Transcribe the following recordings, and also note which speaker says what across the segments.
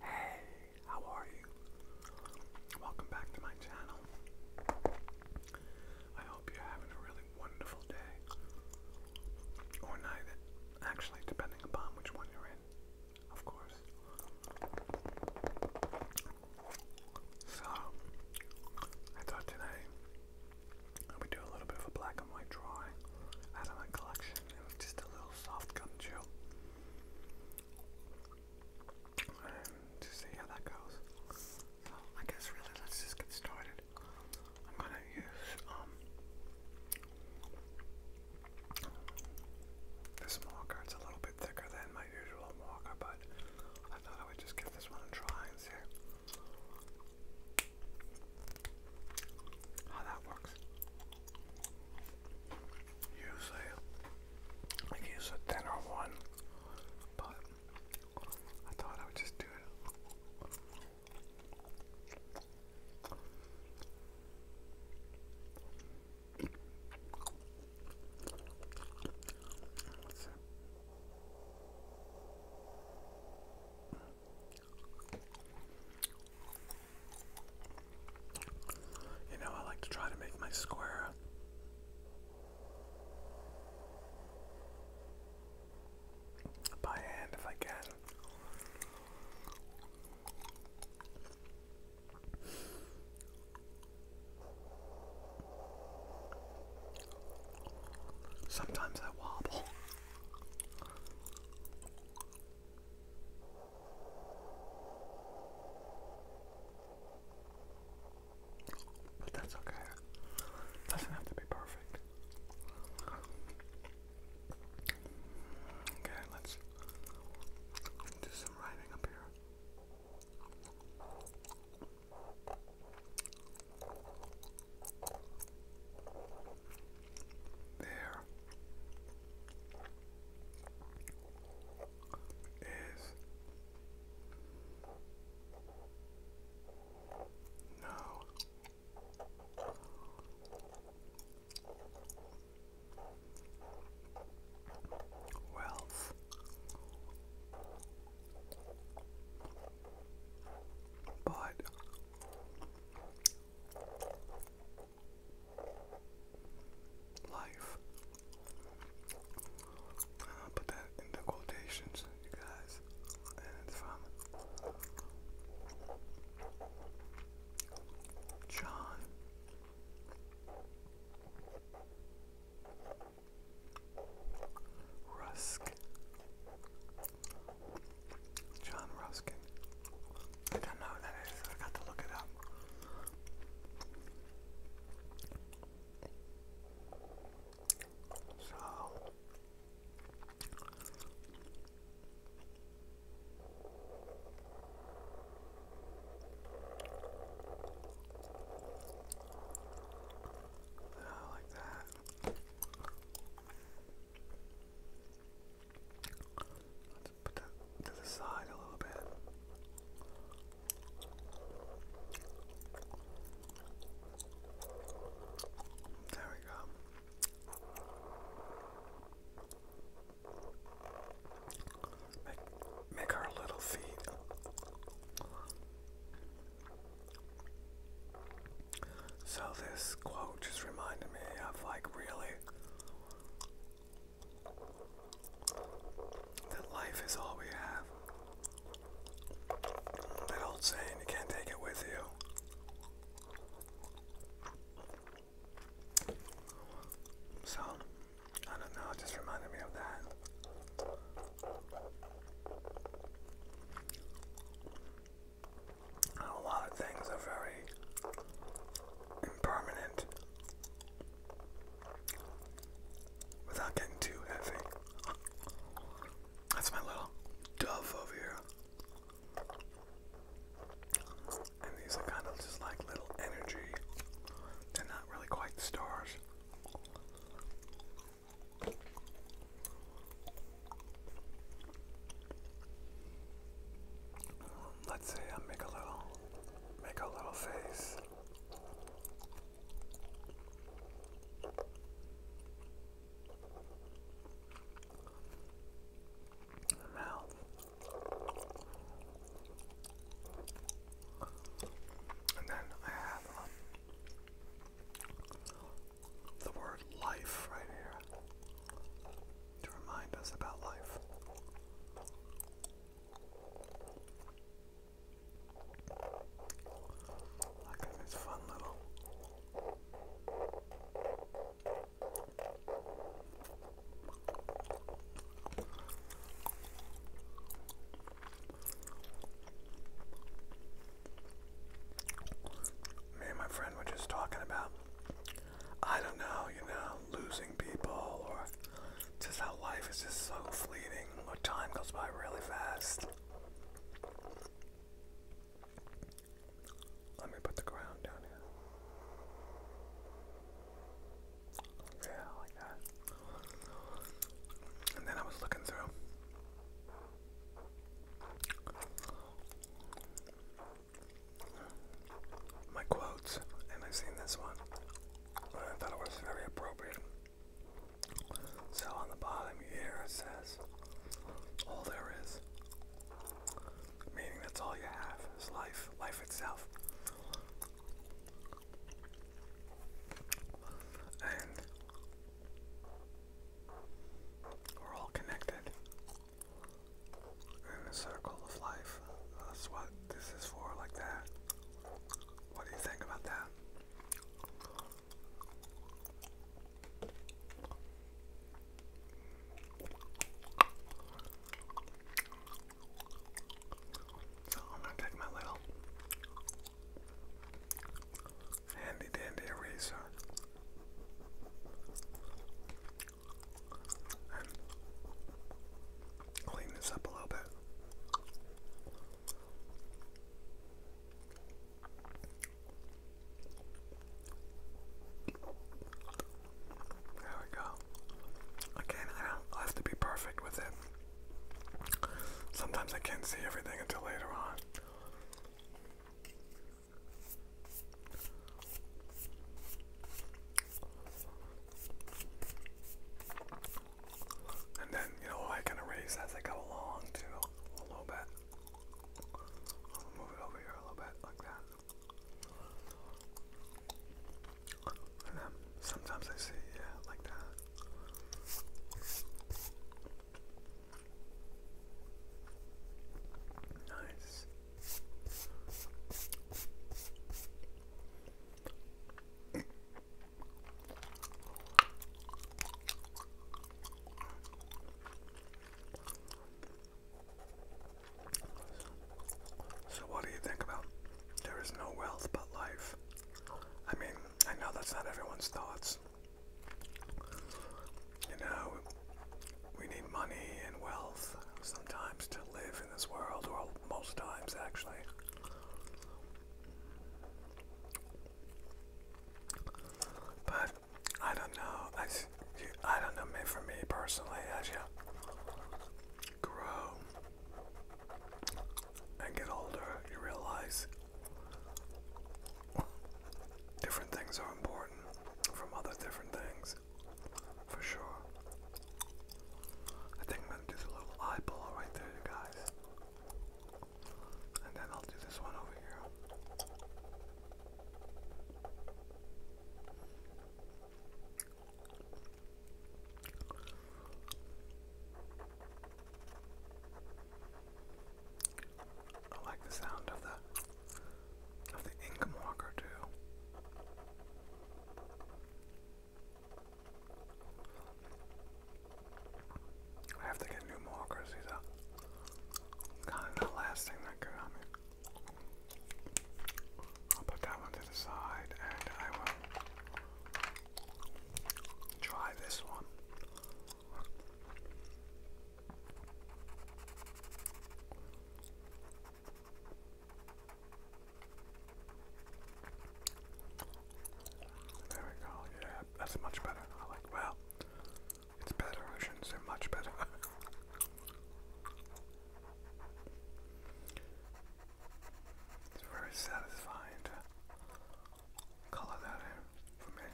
Speaker 1: Hey, how are you? Welcome back to my channel. I hope you're having a really wonderful day. Or night, actually, depending upon which one you're in, of course. So, I thought tonight we do a little bit of a black and white drawing out of my collection. It was just a little soft gum chew. to see how that goes. So I guess really let's just get started. I'm gonna use this marker. It's a little bit thicker than my usual marker, but I thought I would just give this one a try how that works. Usually I use a thinner one, but I thought I would just do it. You know, I like to try to make my square. By hand, if I can. Sometimes I wobble. But that's okay. doesn't have to be perfect. Okay, let's do some writing up here. There is no wealth but Life. I'll uh, put that in the quotations, you guys. And it's from John Rusk. John Ruskin. I don't know who that is. I got to look it up. So like that put that to the side a little bit. There we go. Make, make our little feet so this quote just reminded me of like really that life is all we have. That old saying, you can't take it with you. So, I don't know, it just reminded me of that a lot of things are very impermanent without getting too heavy. That's my little dove over here. And these are kind of just like little energy. They're not really quite stars. Um, let's see, I'll make a little make a little face. Mouth. And then I have um, the word life right here to remind us about life. I think fun little me and my friend were just talking about, I don't know, you know, losing people or just how life is just so fleeting or time goes by really fast. Let me put the ground down here. Yeah, like that. And then I was looking through my quotes, and I've seen this one, and I thought it was very appropriate. So on the bottom here it says, All there is. Meaning that's all you have is life, life itself. And we're all connected in the circle of life. That's what this is for, like that. What do you think about that? So oh, I'm gonna take my little Handy dandy eraser. clean this up a little bit. There we go. Again, I have to be perfect with it. Sometimes I can't see everything until later on. And then, you know, I can erase as I go along too, a little bit. move it over here a little bit, like that. And then sometimes I see, yeah, like that. Nice. So, what do you think about there is no wealth but life? I mean, I know that's not everyone's thoughts, you know, we need money and wealth sometimes to live in this world, or most times actually. But I don't know. I, don't know. Me For me personally, as you grow and get older, you realize Different things are important from other different things, for sure. I think I'm gonna do the little eyeball right there, you guys. And then I'll do this one over here. I like the sound of the of the ink marker too. I have to get new markers. These are kind of the last thing that could me. I'll put that one to the side, and I will try this one. There we go. Yeah, that's much better. I like. Well, it's better. I should much better. it's very satisfying color that for me.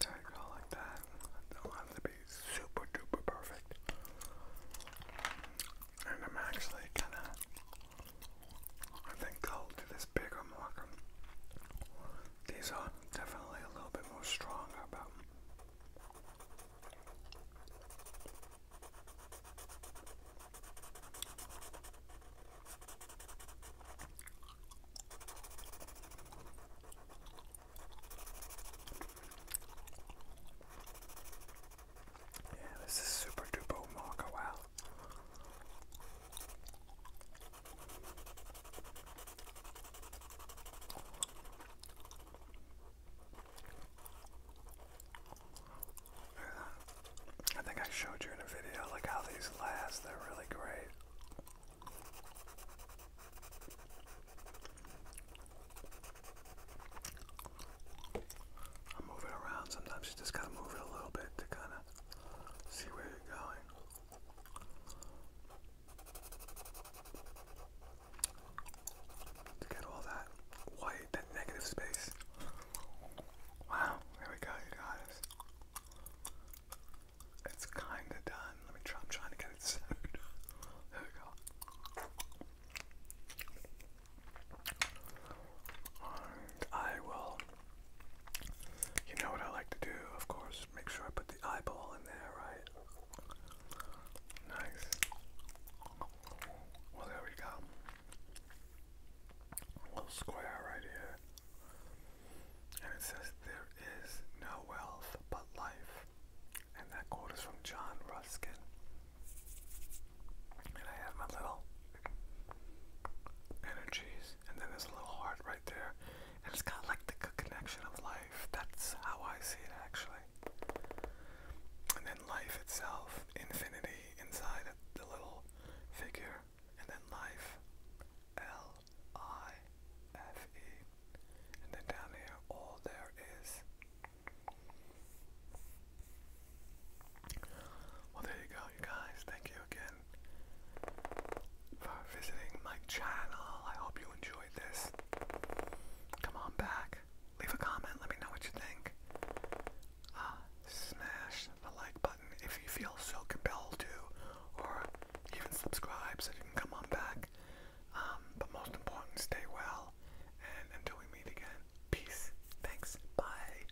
Speaker 1: There you go, like that. I don't have to be super duper perfect. And I'm actually gonna, I think I'll do this bigger marker these are definitely a little bit more stronger, but yeah, this is super duper mocha wow. I think I showed you in a video like how these last, they're really great. I'm moving around sometimes, you just gotta move it a little bit to kinda see where you're going. To get all that white, that negative space. Wow, there we go, guys. It's kind of done. Let me try. I'm trying to get it centered. there we go. I will you know what I like to do, of course, make sure I put the eyeball in there, right? Nice. Well, there we go. little square right here. And it says, There is no wealth but life. And that quote is from John Ruskin. And I have my little energies, and then there's a little heart right there, and it's got like the connection of life. That's how I see it actually. And then life itself, infinity inside of the little figure, and then life, L I F E, and then down here, all there is. Well, there you go guys. Thank you again for visiting my channel. I hope you enjoyed this. Come on back. Leave a comment. Let me know what you think. Ah, smash the like button if you feel so compelled to, or even subscribe so you can come on back. Um, but most important, stay well. And until we meet again, peace. Thanks. Bye.